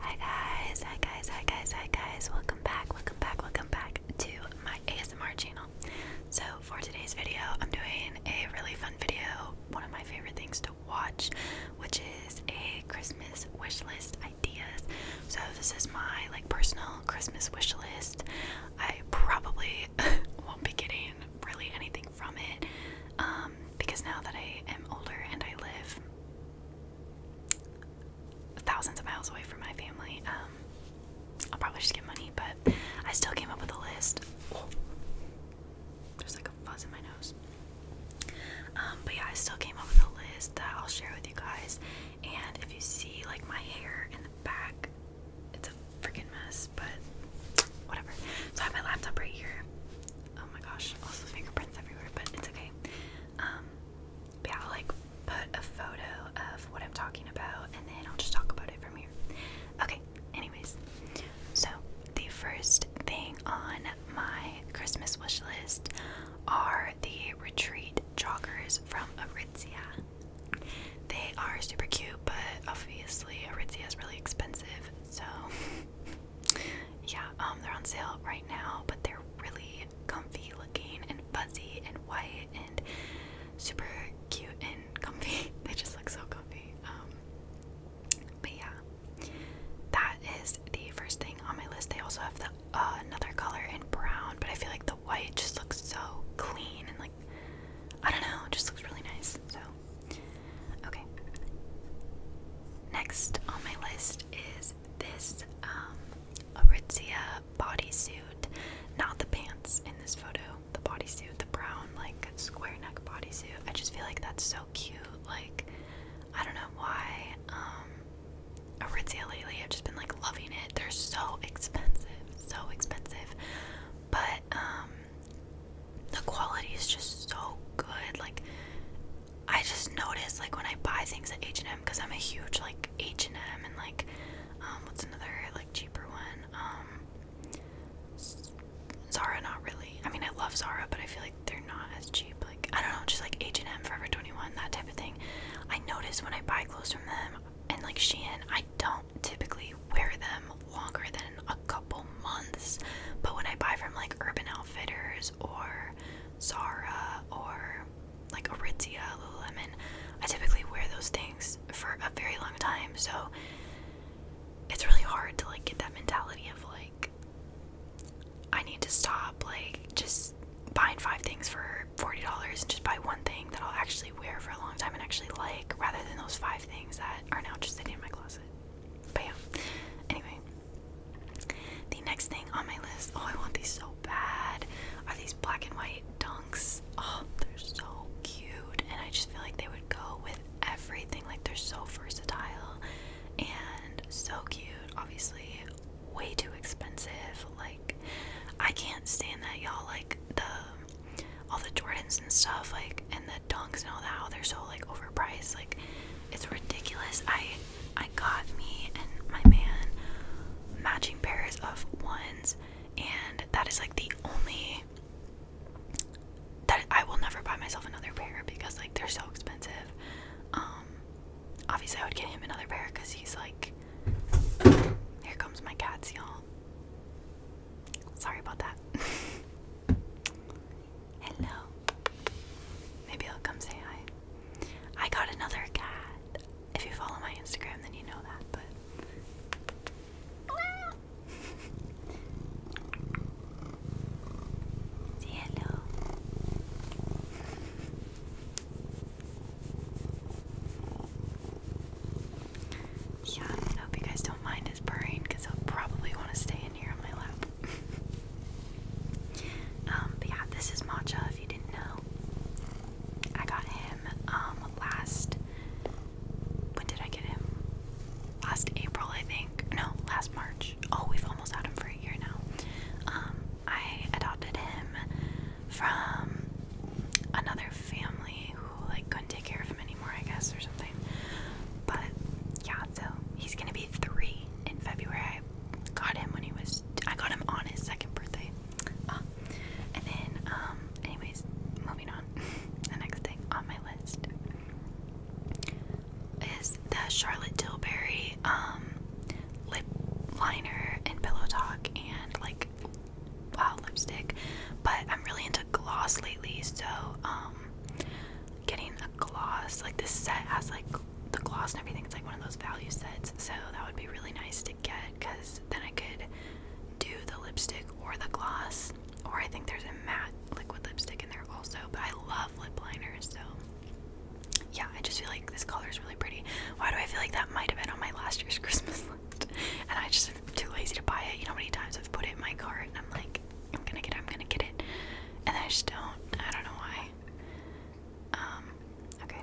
Hi guys, hi guys, hi guys, hi guys. Welcome back, welcome back, welcome back to my ASMR channel. So, for today's video, I'm doing a really fun video, one of my favorite things to watch, which is a Christmas wish list ideas. So, this is my like personal Christmas wish list. I probably won't be getting really anything from it um because now that I am older and I live thousands of miles away from my family. Um, I'll probably just get money, but I still came up with a list. there's like a fuzz in my nose. Um, but yeah, I still came up with a list that I'll share with you guys. And if you see like my hair in the back, it's a freaking mess, but whatever. So I have my laptop right here. Oh my gosh, also fingerprints everywhere, but it's okay. Um, yeah, I'll like put a photo of what I'm talking about and then I'll just talk about it from here. Okay, anyways, so the first thing on my Christmas wish list are the retreat joggers from Aritzia. They are super cute, but obviously Aritzia is really expensive, so yeah, um, they're on sale right now, but they're really comfy looking and fuzzy and white and super cute and comfy. they just look so comfy. Um, but yeah, that is the first thing on my list. They also have the uh, another color in brown, but I feel like the white just looks so clean and like I don't know, just looks really nice. So Okay. Next on my list is this um, Aritzia bodysuit. Not the pants in this photo, the bodysuit, the brown, like square neck bodysuit. I just feel like that's so cute. Like, I don't know why. Um, Aritzia lately, I've just been like loving it. They're so expensive, so expensive. But, um, the quality is just so good. Like I just notice like when I buy things at H and M because I'm a huge like H and M and like um, what's another like cheaper one? Um, Zara, not really. I mean, I love Zara, but I feel like they're not as cheap. Like I don't know, just like H and M, Forever Twenty One, that type of thing. I notice when I buy clothes from them and like Shein, I don't typically wear them longer than a couple months. But when I buy from like Urban Outfitters or Zara or like Aritzia, Lululemon, I typically wear those things for a very long time. So it's really hard to like get that mentality of like I need to stop like just buying five things for forty dollars and just buy one thing that I'll actually wear for a long time and actually like rather than those five things that are now just sitting in my closet. But yeah. Anyway. The next thing on my list, oh I want these so bad, are these black and white dunks. Oh, they're so cute. And I just feel like they would go with everything. Like they're so versatile and so cute. Obviously, way too expensive. Like I can't stand that y'all like the all the Jordans and stuff like and the the dunks and all that, they're so like overpriced. Like it's ridiculous. I I got me and my man matching pairs of ones and that is like the only that I will never buy myself another pair because like they're so expensive. Um obviously I would get him another pair because he's like here comes my cats y'all. Sorry about that. Hello. Maybe I'll come say hi. I got another cat. If you follow my Instagram, then you know that, but. hello. Yeah, I hope you guys don't mind his purring because he'll probably want to stay in here on my lap. Um, but yeah, this is Matcha if you didn't know. I got him um, last when did I get him? Last April I think. No, last March. Oh, we've almost had him for a year now. Um, I adopted him from another family who like couldn't take care of him anymore. I guess, or something. But yeah, so he's gonna be three in February. I got him when he was. I got him on his second birthday. Ah, and then, um, anyways, moving on. the next thing on my list is the Charlotte Tilbury um lip liner and pillow talk and like wow lipstick. But I'm really into gloss lately, so um getting a gloss. Like this set has like the gloss and everything. It's like one of those value sets, so that would be really nice to get because then I could do the lipstick or the gloss. Or I think there's a matte liquid lipstick in there also. But I love lip liners, so yeah, I just feel like this color is really pretty. Why do I feel like that might have been on my last year's Christmas list? And I just too lazy to buy it. You know how many times I've put it in my cart and I'm like, I'm gonna get it, I'm gonna get it. And I just don't. I don't know why. Um, okay.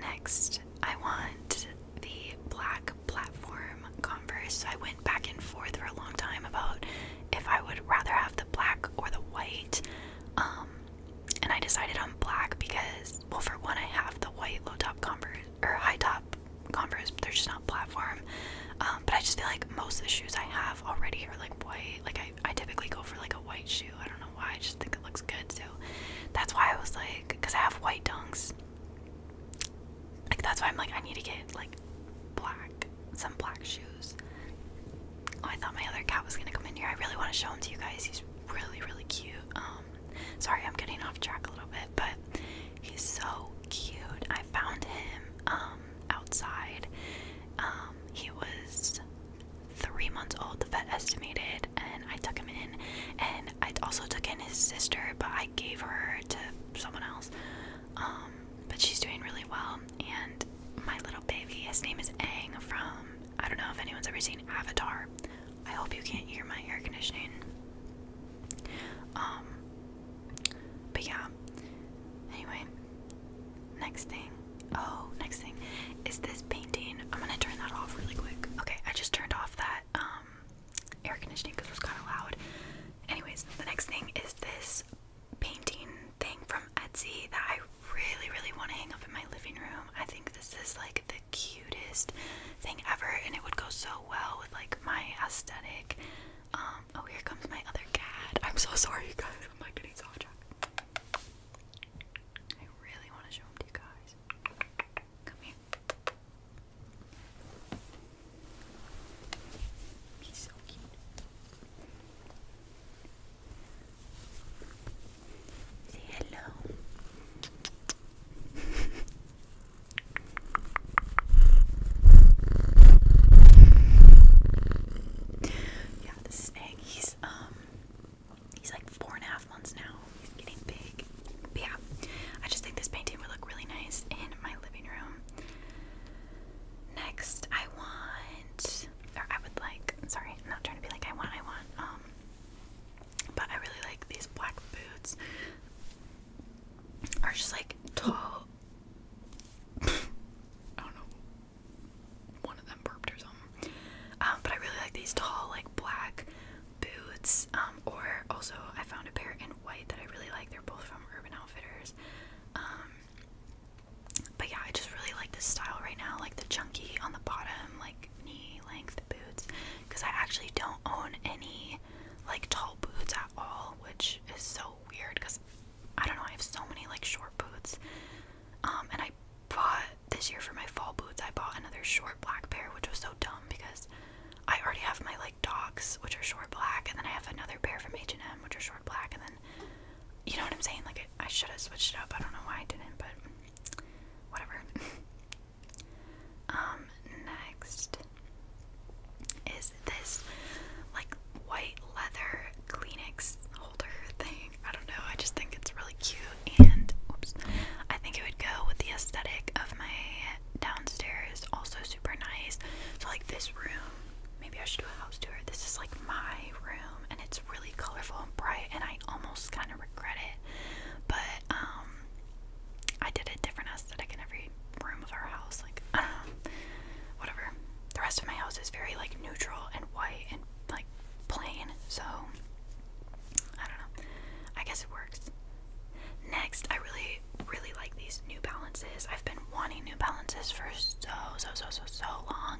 Next, I want the black platform Converse. I went back and forth for a long time about if I would rather have the black or the white. Um, and I decided on black because, well, for one, I have the white low top Converse or high top Converse, they're just not platform. Um, but I just feel like most of the shoes I have already are like white. Like I, I typically go for like a white shoe. I don't know why. I just think it looks good. So that's why I was like, because I have white dunks. Like that's why I'm like I need to get like black, some black shoes. Oh, I thought my other cat was gonna come in here. I really want to show him to you guys. He's really, really cute. Um, sorry, I'm getting off track a little bit but he's so cute. I found him um, outside. Um, he was three months old, the vet estimated, and I took him in. And I also took in his sister, but I gave her to someone else. Um, but she's doing really well. And my little baby, his name is Ang. from, I don't know if anyone's ever seen Avatar. I hope you can't hear my air conditioning. Um, but yeah. Anyway, next thing. Oh, next thing is this painting. I'm gonna turn that off really quick. Okay, I just turned off that um air conditioning because it was kind of loud. Anyways, the next thing is this painting thing from Etsy that I really, really want to hang up in my living room. I think this is like the cutest thing ever, and it would go so well with like my aesthetic. Um, oh, here comes my other cat. I'm so sorry, you guys. I'm like getting off I really want to show them to you guys. Come here. He's so cute. Say hello. Yeah, the snake, he's um he's like four and a half months now. He's getting big. yeah. I just think this painting would look really nice in my living room. Next I want or I would like sorry, I'm not trying to be like I want, I want, um but I really like these black boots are just like tall. I don't know. One of them burped or something. Um, but I really like these tall, like black boots. Um, or also I found a pair in white that I really like. They're both from Urban Outfitters. Um, but yeah, I just really like this style right now. Like the chunky on the bottom, like knee length boots because I actually don't own any like tall boots at all, which is so weird because I don't know, I have so many like short boots. Um, and I bought this year for my fall boots, I bought another short black pair, which was so dumb because I already have my like docs, which are short black, and then I have another pair from H and M, which are short black, and then you know what I'm saying? Like I should have switched it up. I don't know why I didn't, but whatever. Um, next is this like white leather Kleenex holder thing. I don't know, I just think it's really cute and oops, I think it would go with the aesthetic of my downstairs, also super nice. So like this room, maybe I should do a house tour. This is like my room and it's really colorful and bright and I almost kind of regret it. But um I did a different aesthetic in every room of our house. Like, I don't know, whatever. The rest of my house is very like neutral and white and like plain. So, I don't know. I guess it works. Next, I really, really like these New Balances. I've been wanting New Balances for so, so, so, so, so long.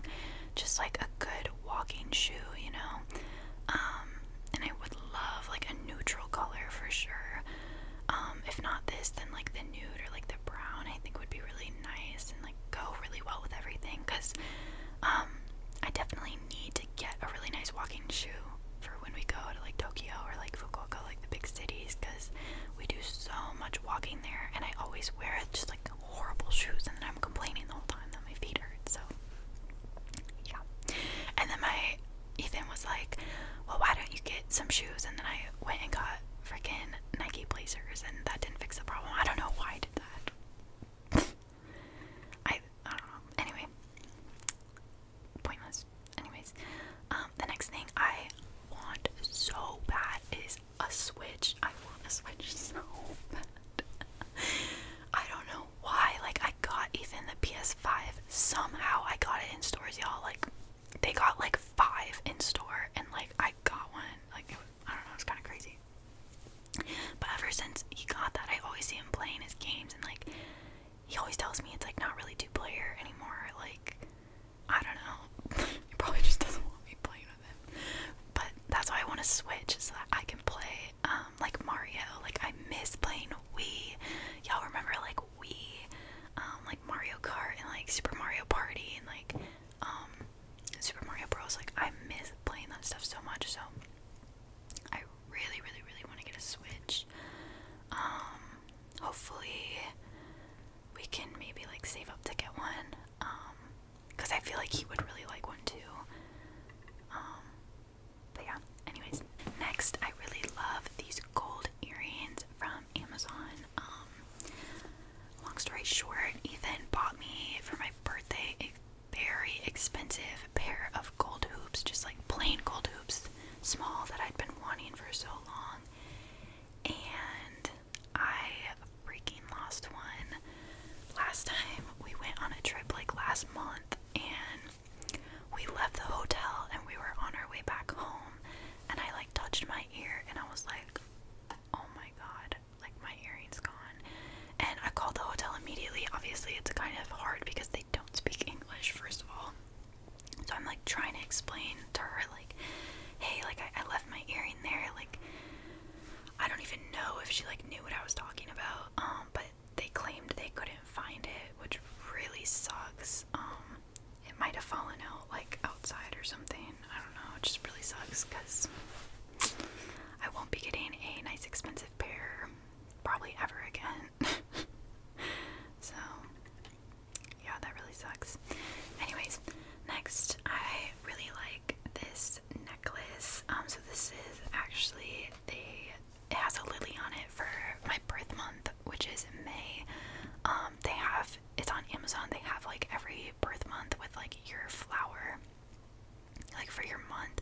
Just like a good walking shoe, you know um, and I would love like a neutral color for sure. Um, if not this, then like the nude or like the brown, I think would be really nice and like go really well with everything. Cause um, I definitely need to get a really nice walking shoe for when we go to like Tokyo or like Fukuoka, like the big cities, because we do so much walking there, and I always wear just like horrible shoes, and then I'm complaining the whole time that my feet hurt. So yeah. And then my Ethan was like, "Well, why don't you get some shoes?" And then I went and got freaking Nike Blazers, and that didn't fix the problem. I don't know why I did that. I don't know. Anyway, pointless. Anyways, um, the next thing I want so bad is a Switch. I want a Switch so I don't know why. Like I got even the PS5 somehow. I got it in stores, y'all. Like they got like five in store, and like I got one. Like it was, I don't know, it's kind of crazy. But ever since he got that, I always see him playing his games, and like he always tells me it's like not really two player anymore. Like I don't know. he probably just doesn't want me playing with him. But that's why I want to switch so that I can play. Um, um, like Mario. Like I miss playing Wii. Y'all remember like Wii, um, like Mario Kart and like Super Mario Party and like um, Super Mario Bros. Like I miss playing that stuff so much. So I really, really, really want to get a Switch. hopefully we can maybe like save up to get one. cause I feel like he would really like one too. But yeah, anyways. Next, I really love these gold earrings from Amazon. Um, long story short, Ethan bought me for my birthday a very expensive pair of gold hoops, just like plain gold hoops, small that I'd been wanting for so long. And I freaking lost one. Last time we went on a trip, like last month, and we left the hotel and we were on our way back home and I like touched my ear and I was like, oh my god, like my earring's gone. And I called the hotel immediately. Obviously, it's kind of hard because they don't speak English, first of all. So I'm like trying to explain to her, like, hey, like I left my earring there. Like, I don't even know if she like knew what I was talking about. Um, but they claimed they couldn't find it, which really sucks. Um, it might have fallen out like outside or something. I don't know. It just really sucks because I won't be getting a nice expensive pair probably ever again. so yeah, that really sucks. Anyways, next I really like this necklace. Um, so this is actually they it has a lily on it for my birth month, which is May. Um, they have it's on Amazon. They have like every birth month with like your flower, like for your month.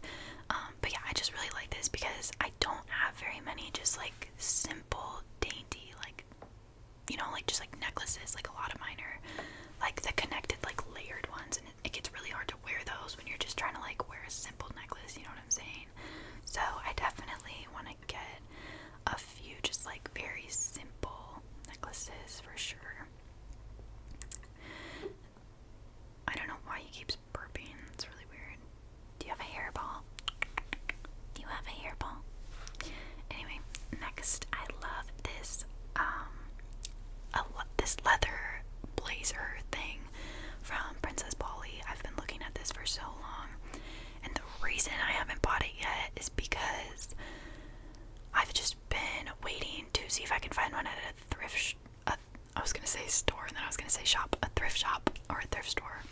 Um, but yeah, I just really like this because I don't have very many just like simple, dainty like you know like just like necklaces. Like a lot of mine are like the connected like layered ones, and it gets really hard to wear those when you're just trying to like wear a simple necklace, you know what I'm saying? So I definitely want to get a few just like very simple necklaces for sure. I don't know why he keeps burping. It's really weird. Do you have a hairball? Do you have a hairball? Anyway, next I love this um, a this leather blazer thing from Princess Polly. I've been looking at this for so long, and the reason I haven't bought it yet is because I've just been waiting to see if I can find one at a thrift. Sh a, I was gonna say store, and then I was gonna say shop, a thrift shop or a thrift store.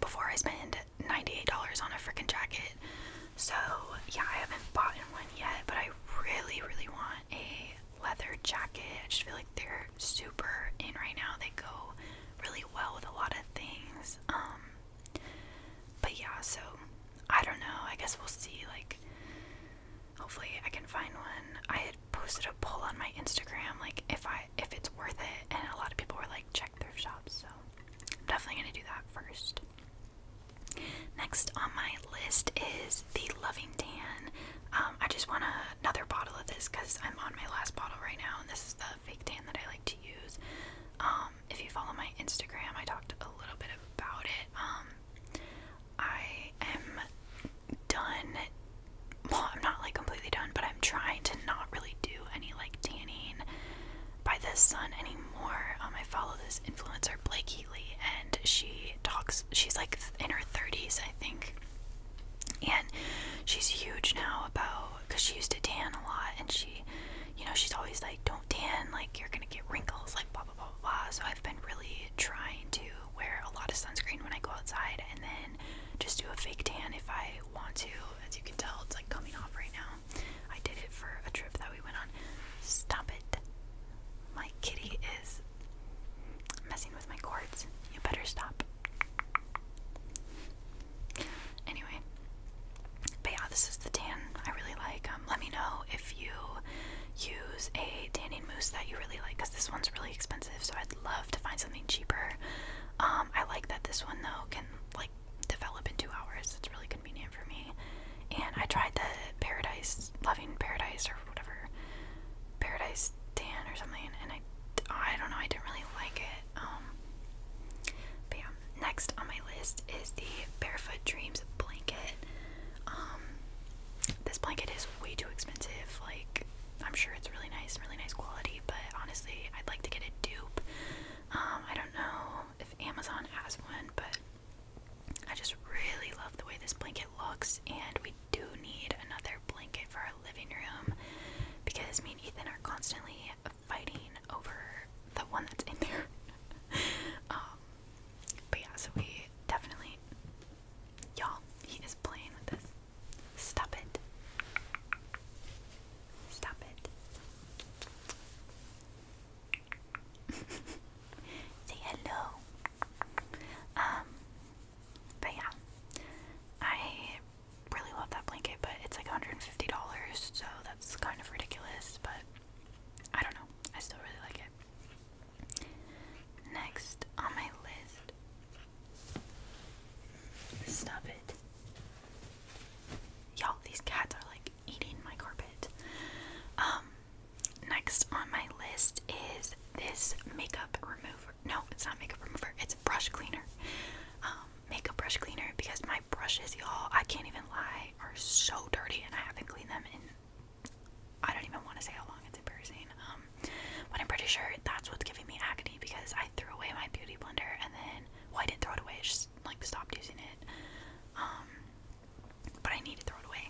Before I spend ninety-eight dollars on a freaking jacket, so yeah, I haven't bought one yet, but I I really, really want a leather jacket. I just feel like they're super in right now. They go really well with a lot of things. Um, but yeah, so I don't know. I guess we'll see. Like, hopefully, I can find one. I had posted a poll on my Instagram, like if I if it's worth it, and a lot of people were like, check thrift shops. So I'm definitely gonna do that first. Next on my list is the Loving Tan. Um, I just want another bottle of this because I'm on my last bottle right now, and this is the fake tan that I like to use. Um, if you follow my Instagram, I talked a little bit about it. Um, I am done. Well, I'm not like completely done, but I'm trying to not really do any like tanning by the sun anymore. Um, I follow this influencer Blake and she talks. She's like in her 30s, I think, and she's huge now about because she used to tan a lot, and she, you know, she's always like, "Don't tan, like you're gonna get wrinkles," like blah blah blah blah. So I've been really trying to wear a lot of sunscreen when I go outside, and then just do a fake tan if I want to. As you can tell, it's like coming off right now. I did it for a trip that we went on. Stop it. My kitty is messing with my cords. You better stop. Anyway, but yeah, this is the tan I really like. Um, let me know if you use a tanning mousse that you really like, because this one's really expensive. So I'd love to find something cheaper. Um, I like that this one though can like develop in two hours. It's really good convenient for me. And I tried the Paradise Loving Paradise or whatever Paradise Tan or something, and I I don't know I didn't really like it. Um, but yeah, next on my list is the Barefoot Dreams blanket. Um, this blanket is way too expensive. Like I'm sure it's really nice, really nice quality, but honestly, I'd like to get a dupe. Um, I don't know if Amazon has one, but I just really love the way this blanket looks, and we do need another blanket for our living room because me and Ethan are constantly fighting over the one that's in there. Um, but yeah, so we definitely. Y'all, he is playing with this. Stop it. Stop it. Say hello. Um, but yeah, I really love that blanket, but it's like $150, so that's kind of ridiculous, but I don't know. I still really like it. Next on my list. Stop it. Y'all, these cats are like eating my carpet. Um, next on my list is this makeup remover. No, it's not makeup remover, it's brush cleaner. Um, makeup brush cleaner because my brushes, y'all, I can't even lie, are so dirty and I haven't cleaned them in I don't even want to say how long it's embarrassing. Um, but I'm pretty sure that's what's giving me acne because I threw away my beauty blender and then why didn't throw it away, I just like stopped using it. Um, but I need to throw it away.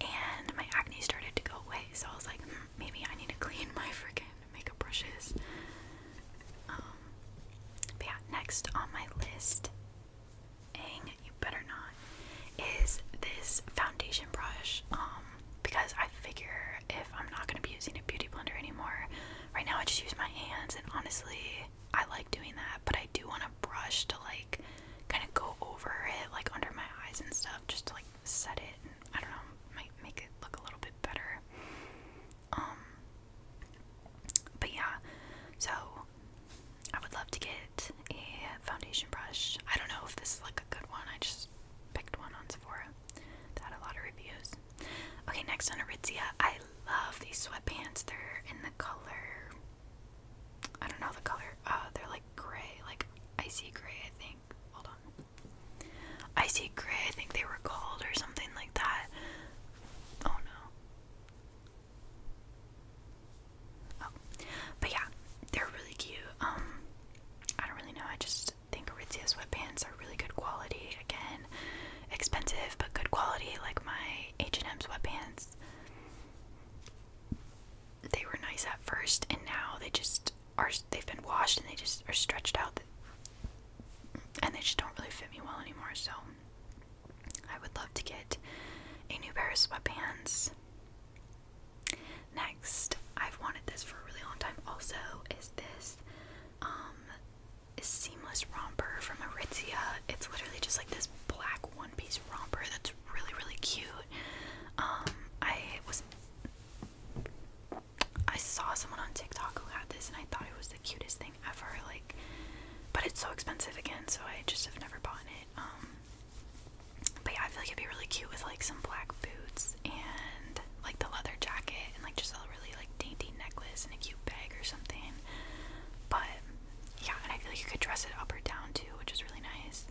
And my acne started to go away, so I was like, hmm, maybe I need to clean my freaking makeup brushes. Um, yeah, next on my list, dang, you better not, is this foundation brush. Um, because I figure if I'm not gonna be using a beauty blender anymore, right now I just use my hands, and honestly, I like doing that, but I do want a brush to like kind of go over it, like under my eyes and stuff, just to like set it. And, I don't know, might make it look a little bit better. Um, but yeah, so I would love to get a foundation brush. I don't know if this is like a good one. I just picked one on Sephora that had a lot of reviews. Okay, next on Arizia, I love these sweatpants. They're in the color, I don't know the color, uh, they're like gray, like icy gray, I think. Hold on. Icy gray, I think they were called or something like that. Oh no. Oh. But yeah, they're really cute. Um, I don't really know. I just think Aritzia sweatpants are really good quality. Again, expensive but good quality. Like my H&M sweatpants. They were nice at first, and now they just are. They've been washed, and they just are stretched out, and they just don't really fit me well anymore. So, I would love to get a new pair of sweatpants. Next, I've wanted this for a really long time. Also, is this um seamless romper from Aritzia. It's literally just like this black one-piece romper that's really really cute. Um, I was I saw someone on TikTok who had this and I thought it was the cutest thing ever. Like, but it's so expensive again, so I just have never bought it. Um, but yeah, I feel like it'd be really cute with like some black boots and like the leather jacket and like just all really like dainty necklace and a cute bag or something. But yeah, and I feel like you could dress it up or down too, which is really nice.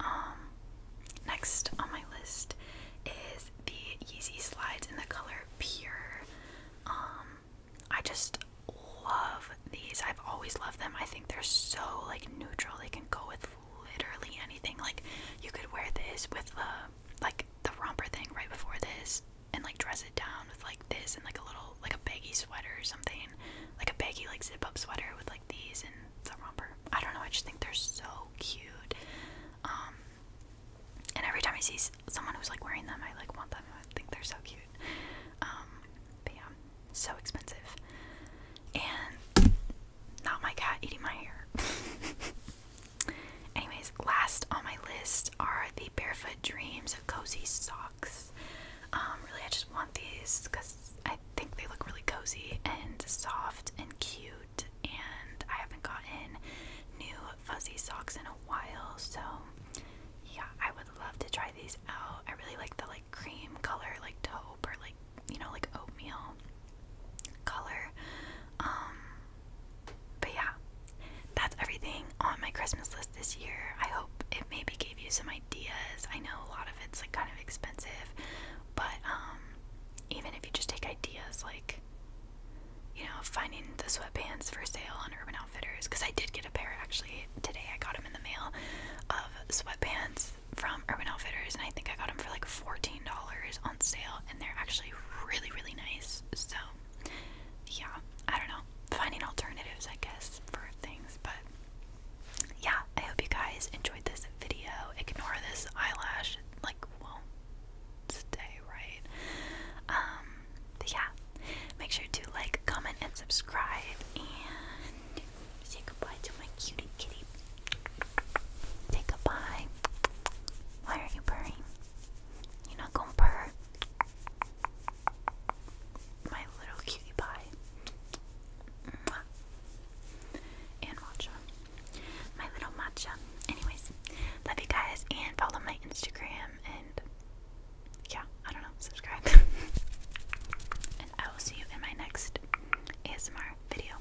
Um, next on my list is the Yeezy slides in the color Pure. Um, I just love these. I've always loved them. I think they're so like neutral. They can go with literally anything. Like you could wear this with the like the romper thing right before this and like dress it down with like this and like a little like a baggy sweater or something, like a baggy like zip up sweater with like these and the romper. I don't know. I just think they're so cute. Um, and every time I see someone who's like wearing them, I like want them. I think they're so cute. Um, but yeah, so expensive. And not my cat eating my hair. Anyways, last on my list are the Barefoot Dreams of Cozy Socks. Um, really, I just want these because I think they look really cozy and soft and cute, and I haven't gotten new fuzzy socks in a while, so yeah, I would love to try these out. I really like the like cream color, like taupe or like you know, like oatmeal color. Um, but yeah, that's everything on my Christmas list this year. I hope it maybe gave you some ideas. I know a lot of it's like kind of expensive, but um, even if you just take ideas like, you know, finding the sweatpants for sale on Urban Outfitters, because I did get a pair actually today. I got them in the mail of sweatpants from Urban Outfitters, and I think I got them for like $14 on sale, and they're actually really, really nice. So yeah, I don't know. Finding alternatives, I guess, for things. But yeah, I hope you guys enjoyed this video. Ignore this eyelash, it, like, won't stay right. Um, but yeah, make sure to like, comment, and subscribe. And say goodbye to my cutie kitty. Say goodbye. Why are you purring? You're not gonna purr. My little cutie pie. And matcha. My little matcha. Anyways, love you guys and follow my Instagram and yeah, I don't know, subscribe. and I will see you in my next ASMR video.